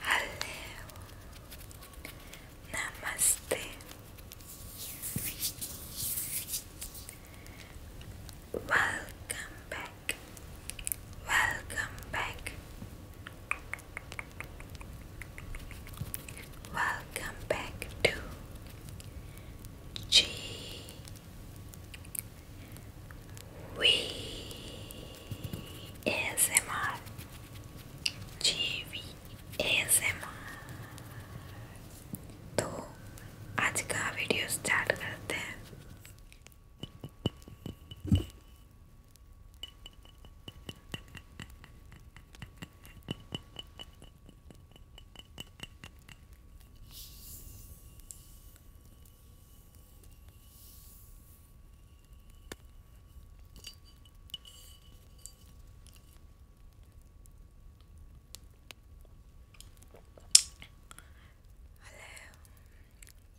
Hello, Namaste. Welcome back. Welcome back. Welcome back to G We ASMR GV ASMR तो आज का video start करते हैं Hello.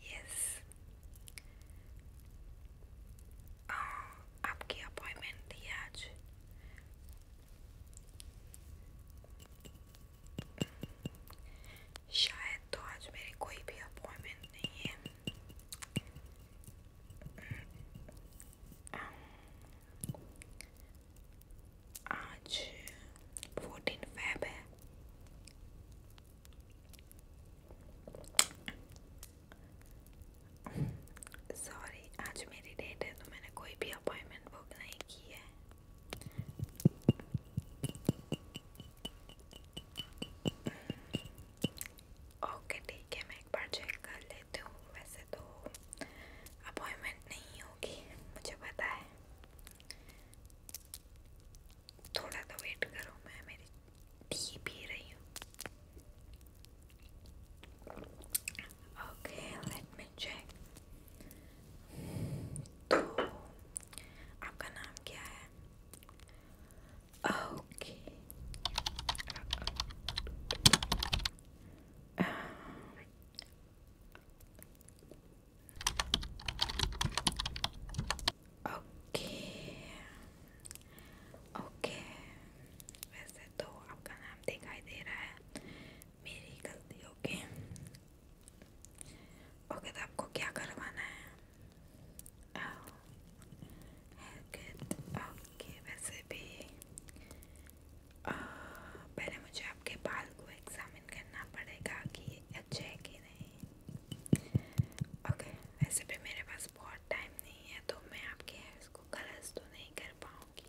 Yes. Oh, आपकी appointment थी आज शायद तो आज मेरी कोई भी अपॉइंटमेंट नहीं है आज फोर्टीन फैब है सॉरी आज मेरी डेट है तो मैंने कोई भी अपॉइंटमेंट बुक नहीं की है ओके ठीक है मैं एक बार चेक कर लेती हूँ वैसे तो अपॉइंटमेंट नहीं होगी मुझे पता है थोड़ा तो वेट करो मैं मेरी टी पी रही हूँ Okay, let me check. तो आपका नाम Okay. Um, okay. ओके वैसे तो आपका नाम दिखाई दे रहा है मेरी गलती ओके ओके तो आपको क्या करवाना है ओके oh, वैसे भी आ, uh, पहले मुझे आपके बाल को एग्जामिन करना पड़ेगा कि ये अच्छे है कि नहीं ओके वैसे भी मेरे पास बहुत टाइम नहीं है तो मैं आपके हेयर्स को गलत तो नहीं कर पाऊँगी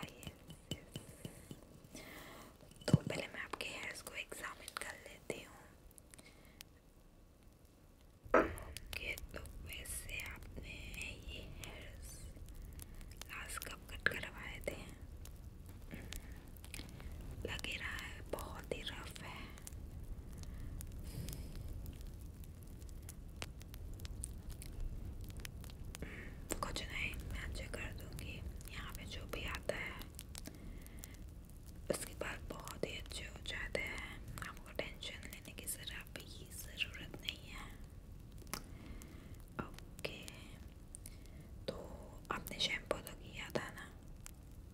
आइए तो पहले मैं आपके हेयर्स को एग्जामिन कर लेती हूँ ओके तो वैसे आपने ये हेयर्स लास्ट कब कट करवाए थे लग रहा है बहुत ही रफ है कुछ नहीं मैं अच्छे कर दूंगी यहाँ पे जो भी आता है उसके बाद बहुत ही अच्छे हो जाते हैं आपको टेंशन लेने की जरा भी ज़रूरत नहीं है ओके तो आपने शैम्पू तो किया था ना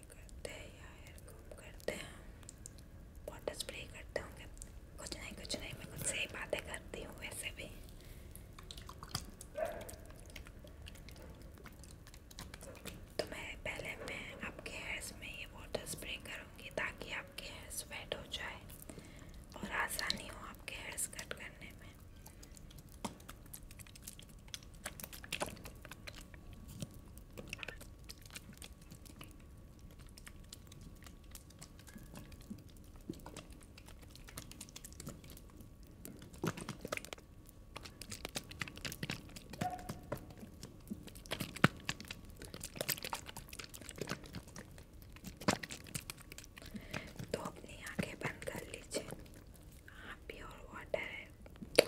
स्प्रे करते हैं या हेयर कॉम करते हैं वाटर स्प्रे करते होंगे कुछ नहीं कुछ नहीं मैं खुद से ही बातें करती हूँ वैसे भी तो मैं पहले मैं आपके हेयर्स में ये वाटर स्प्रे करूँगी ताकि आपके हेयर्स वेट हो जाए और आसानी हो आपके हेयर्स कट करने में तो अपनी आंखें बंद कर लीजिए हाँ प्योर वाटर है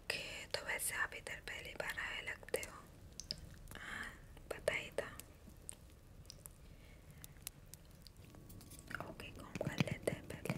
ओके तो वैसे आप इधर पहली बार आए लगते हो हाँ पता ही था ओके कॉम कर लेते हैं पहले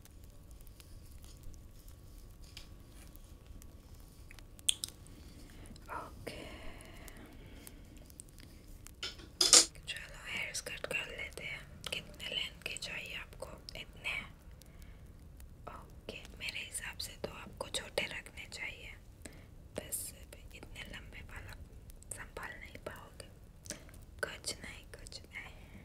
ओके चलो हेयर्स कट कर लेते हैं कितने लेंथ के चाहिए आपको इतने ओके मेरे हिसाब से तो आपको छोटे रखने चाहिए बस इतने लंबे बाल संभाल नहीं पाओगे कुछ नहीं कुछ नहीं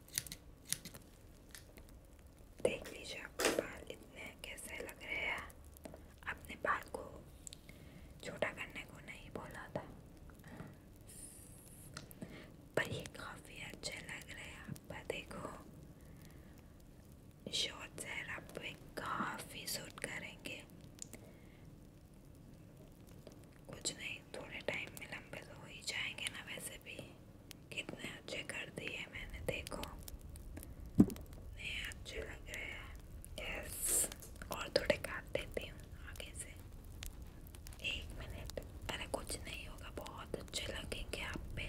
देख लीजिए आपके बाल इतने कैसे लग रहे हैं अपने बाल को छोटा करने को नहीं बोला था पर ये काफ़ी अच्छे लग रहे हैं आप देखो शॉर्ट हेयर आप पे काफ़ी सूट करेंगे कुछ नहीं थोड़े टाइम में लंबे तो हो ही जाएंगे ना वैसे भी कितने अच्छे कर दिए मैंने देखो नहीं अच्छे लग रहे हैं यस और थोड़े काट देती हूँ आगे से एक मिनट अरे कुछ नहीं होगा बहुत अच्छे लगेंगे आप पे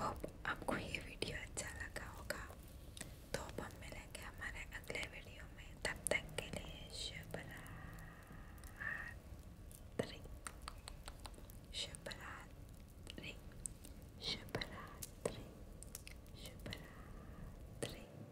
होप आपको ये वीडियो अच्छा लगा होगा तो अब हम मिलेंगे हमारे अगले वीडियो में तब तक के लिए शुभ रात्रि शुभ रात्रि शुभ रात्रि शुभ रात्रि